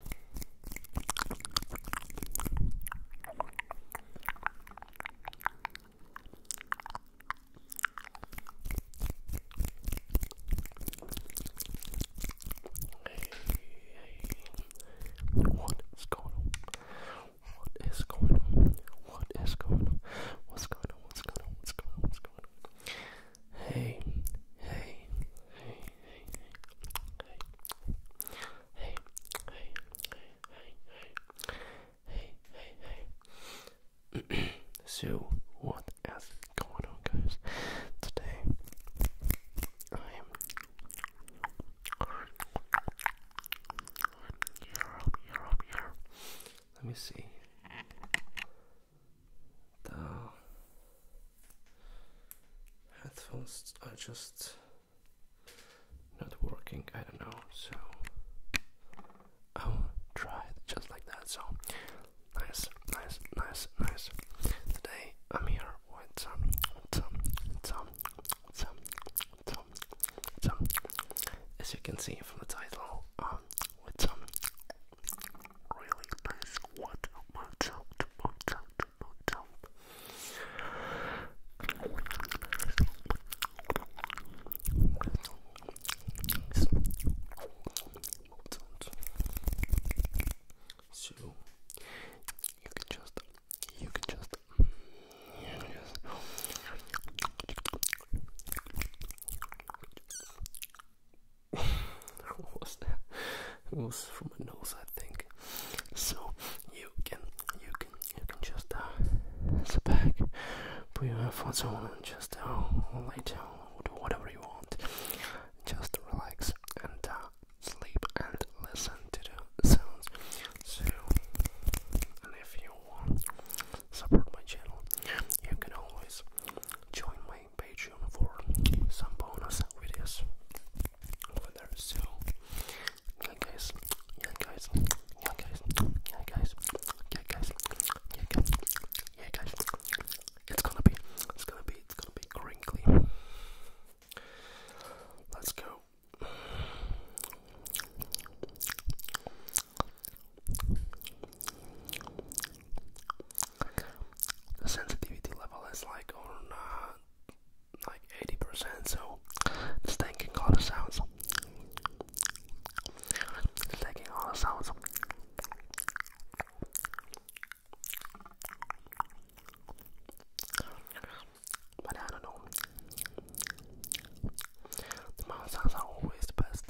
Hey, what is What is going on? What's going on? What's going on? What's going on? What's going on? What's going on? Hey, hey, hey, hey, hey, hey, hey, hey, hey. so what is going on, guys? Today I am. You're up, Let me see the headphones are just not working. I don't know, so I'll try just like that. So nice, nice, nice, nice. Today I'm here with some, some, some, some, some, some. As you can see from the title, um, with some really nice water motel motel motel. So you can just you can just you can just what was that? It was from my nose, I think. So you can, you can, you can just uh, sit back, put your headphones on, and just uh, lay down, do whatever you want. Just relax and uh, sleep and listen to the sounds. So, and if you want support my channel, you can always join my Patreon for some bonus videos So, yeah, guys, yeah, guys, yeah, guys, yeah, guys, yeah, guys, yeah, guys, It's gonna be, it's gonna be, it's gonna be crinkly. Let's go the sensitivity level is like on uh, like 80%, so this thing can call the sounds. It's taking all the sounds. But I don't know. The mouth sounds are always the best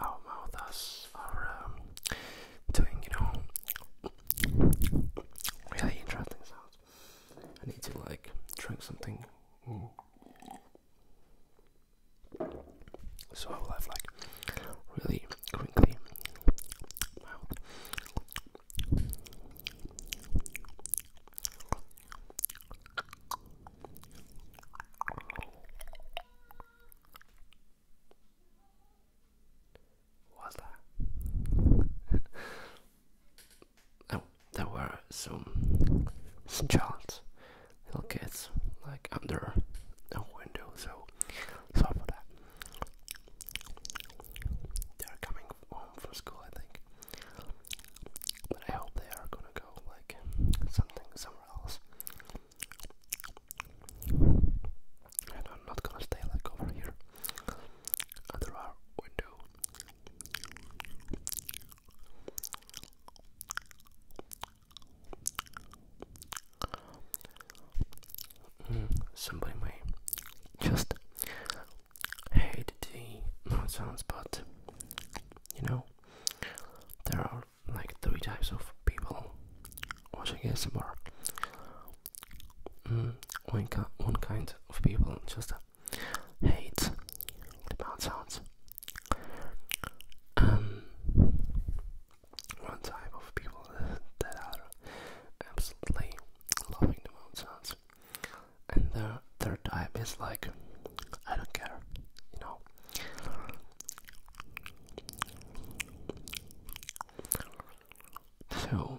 our mouths are um, doing, you know, really interesting sounds. I need to like drink something. So I will have like really quickly. What's that? oh, there were some, some child, little kids, like under a window, so sorry for that. They're coming home from school, I think. But I hope they are gonna go like something somewhere else. And I'm not gonna stay like over here under our window. Mm, somebody may just hate the nonsense, but you know there are like three types of people watching ASMR mm, one, ki one kind of people just hate the mouth sounds um, one type of people that are absolutely loving the mouth sounds and the third time is like I don't care, you know. So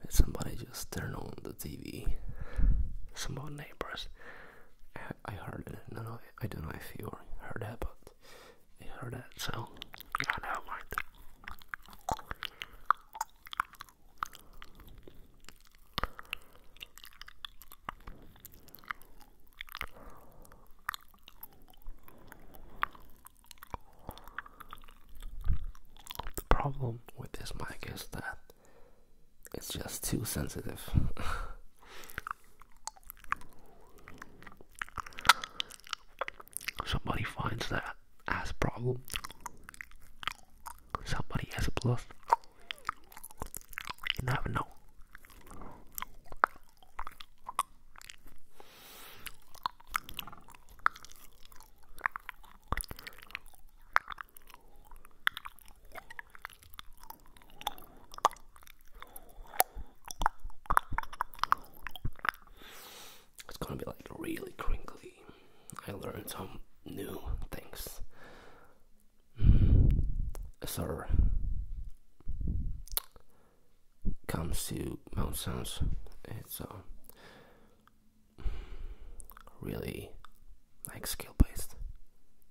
Let somebody just turn on the TV? Some of neighbors. I, heard it. No, no, I don't know if you heard that, but I heard that, so the problem with this mic is that it's just too sensitive. somebody finds that as problem, somebody has a plus. You never know. It's gonna be like really crinkly I learned some new things. Mm. Sir comes to Mount Sounds. It's a uh, really like skill based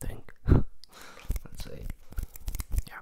thing. Let's see. Yeah.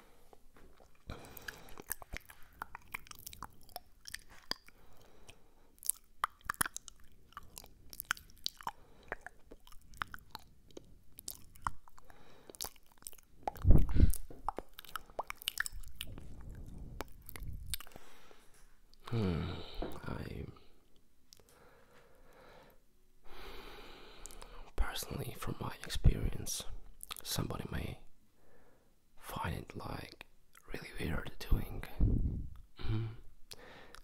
Hmm, I Personally, from my experience, somebody may find it like really weird doing mm-hmm,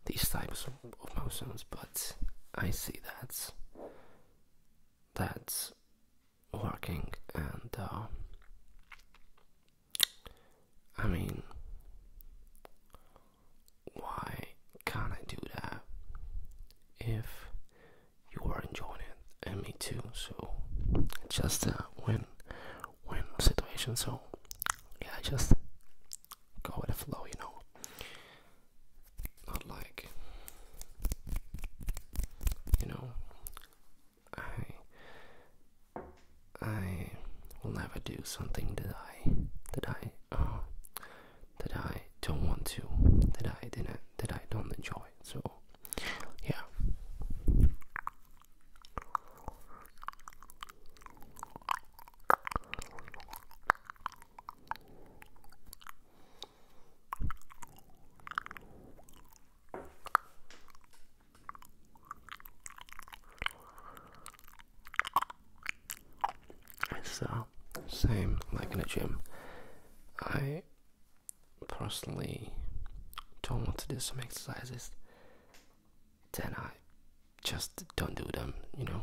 these types of mouth but I see that that's working, and uh, I mean, why can't I do that if you are enjoying it and me too? So just a uh, win win situation. So yeah, just go with the flow, you know. Not like you know I I will never do something that I that I that I don't want to, that I didn't, that I don't enjoy. So, yeah. It's same like in a gym. I personally don't want to do some exercises, then I just don't do them, you know.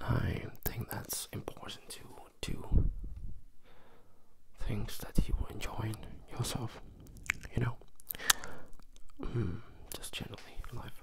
I think that's important to do things that you enjoy yourself, you know, hmm, just generally life.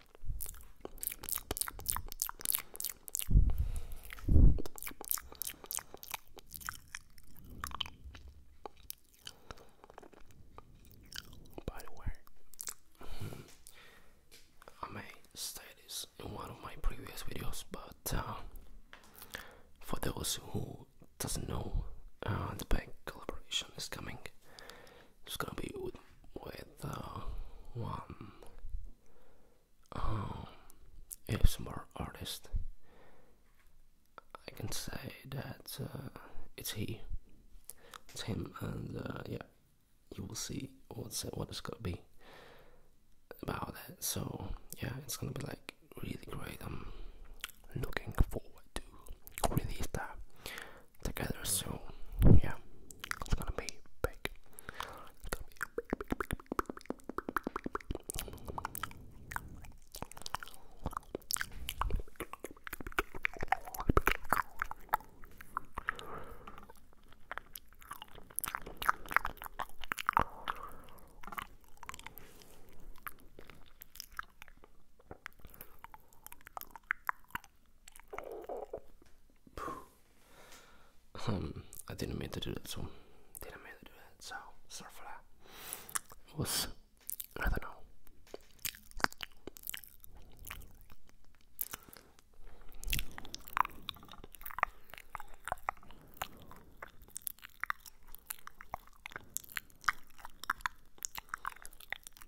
By the way, I may state this in one of my previous videos, but uh, for those who doesn't know, uh, the bank collaboration is coming. It's gonna be with, with uh, one um, ASMR artist. I can say that uh, it's he, it's him, and uh, yeah, you will see what's what it's gonna be about that. So yeah, it's gonna be like really great. I'm looking forward to release that together so Yeah, it's gonna be big. Um, I didn't mean to do that, so didn't mean to do that, so sorry for that. was I don't know.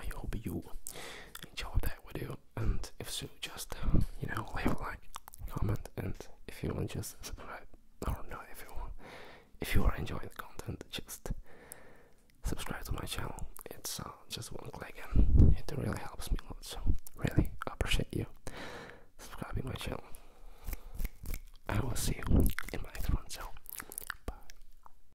I hope you enjoyed that video, and if so, just uh, you know, leave a like, comment, and if you want, just subscribe. Or not, if you want, if you are enjoying the content, just subscribe to my channel. It's uh, just one click, and it really helps me a lot. So, really appreciate you subscribing my channel. I will see you in my next one. So, bye.